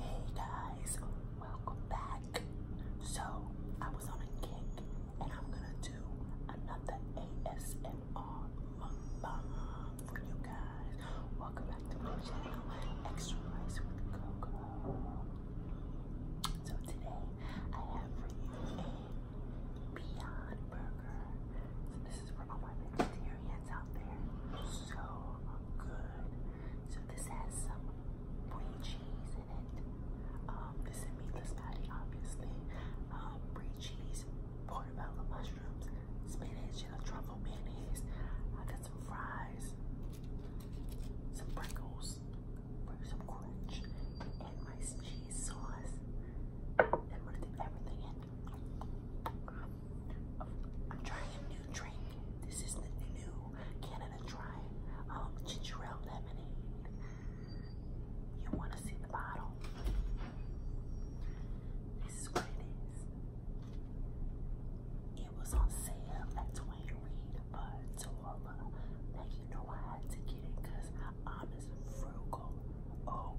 Hey guys, welcome back. So, I was on a kick and I'm gonna do another ASMR mukbang for you guys. Welcome back to my channel, Extra Rice with Coco. So, today I have for you a Beyond Burger. So, this is for all my vegetarians out there. So good. So this has some brie cheese in it. Um, this is a meatless patty, obviously. brie um, cheese, portobello mushrooms, spinach, and a truffle mayonnaise. I got some fries, some Pringles, some crunch, and my cheese sauce. And I'm to dip everything in. I'm trying a new drink. This is the new Canada Dry um, ginger ale lemonade. You want to see the bottle? This is what it is. It was on sale at Twain Reed, but you know I had to get it because I'm as frugal. Oh,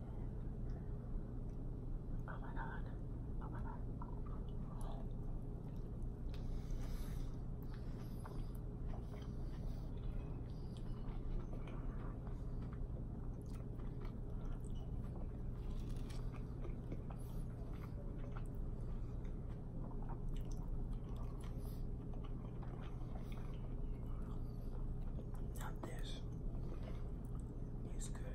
Oh my god. Oh my god. Now this is good.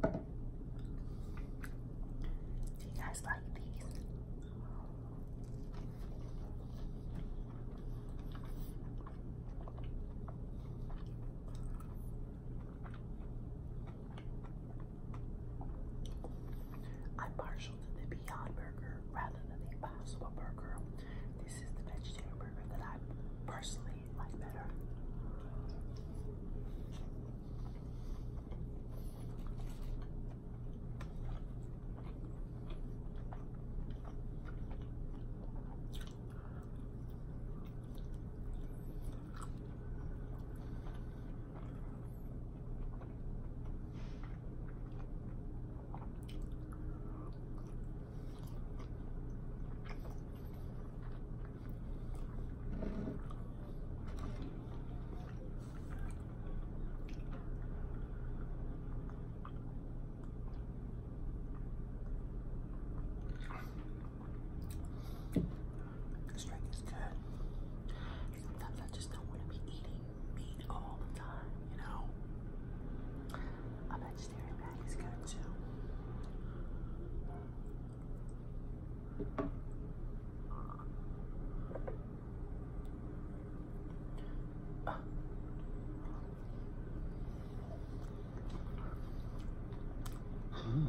Do you guys like these? I'm partial to the Beyond Burger rather than the Impossible Burger. This is the vegetarian burger that I personally like better. This drink is good. Sometimes I just don't want to be eating meat all the time, you know. I'm actually there. Maddie's gonna chill. Uh. Hmm.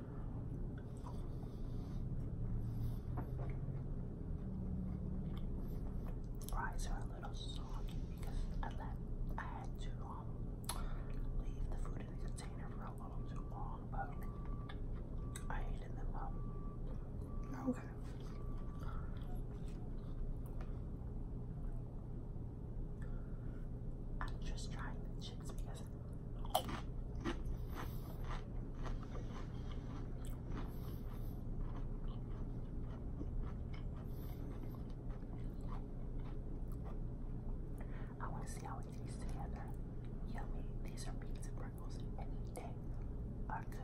Fries are a little soggy because I let I had to um leave the food in the container for a little too long, but I heated them up. Okay. I'm just trying the chips because I want to see how it tastes together. Yummy. These are beans and pickles, are good.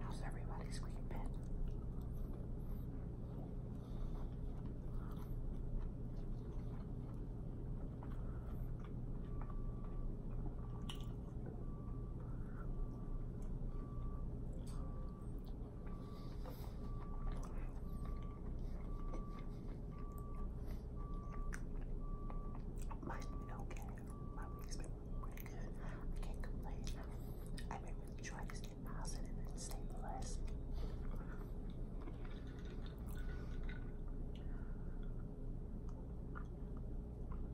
How's everybody green Mine's okay. My week's been pretty good. I can't complain. I've been really trying to stay positive and stay blessed.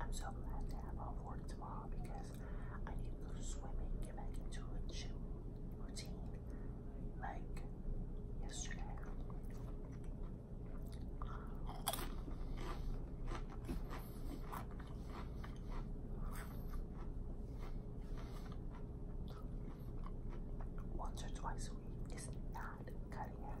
I'm so glad to have off work tomorrow because I need to go swimming, get back into a gym routine like yesterday. Once or twice a week is not cutting it.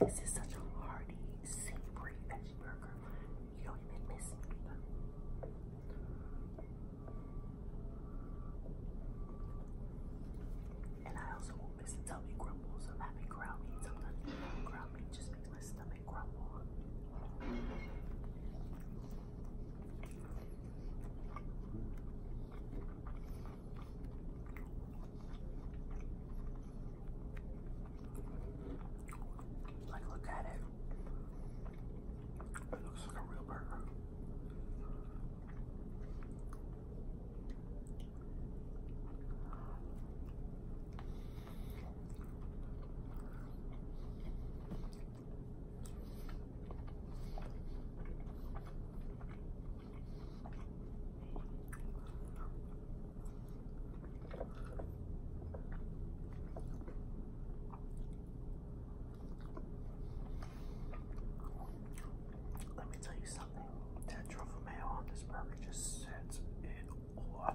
This is such a hearty, savory veggie burger. You don't even miss them. And I also won't miss the tummy grumbles of having ground meat. Sometimes ground meat just makes my stomach grumble. Like, look at it. It looks like a real burger. Let me tell you something. That truffle mayo on this burger just sets it off.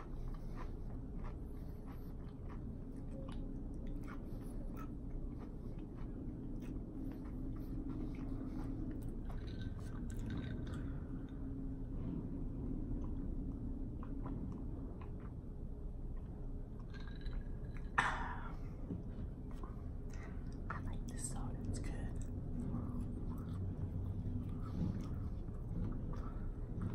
I like this soda, it's good.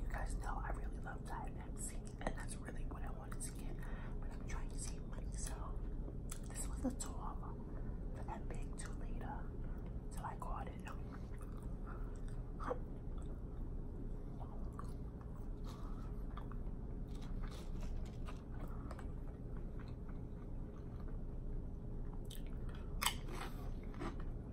you guys know, I really love Thai Maxi, and that's really what I wanted to get, but I'm trying to save money, so this was a 12 for that big 2 liter, so I got it.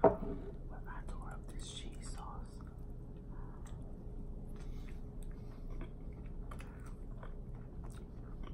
When I tore up this cheese sauce,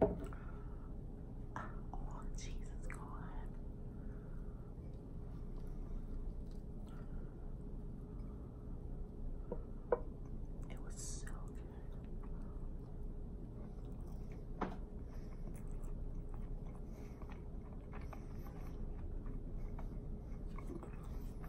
Oh, Jesus, God. It was so good.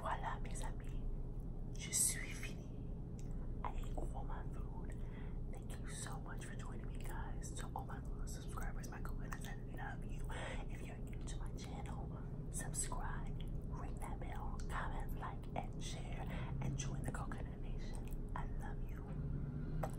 Voilà mes amis, je suis I ate all my food. Thank you so much for joining me guys. To all my little subscribers, my coconuts, I love you. If you're new to my channel, subscribe, ring that bell, comment, like, and share, and join the coconut nation. I love you.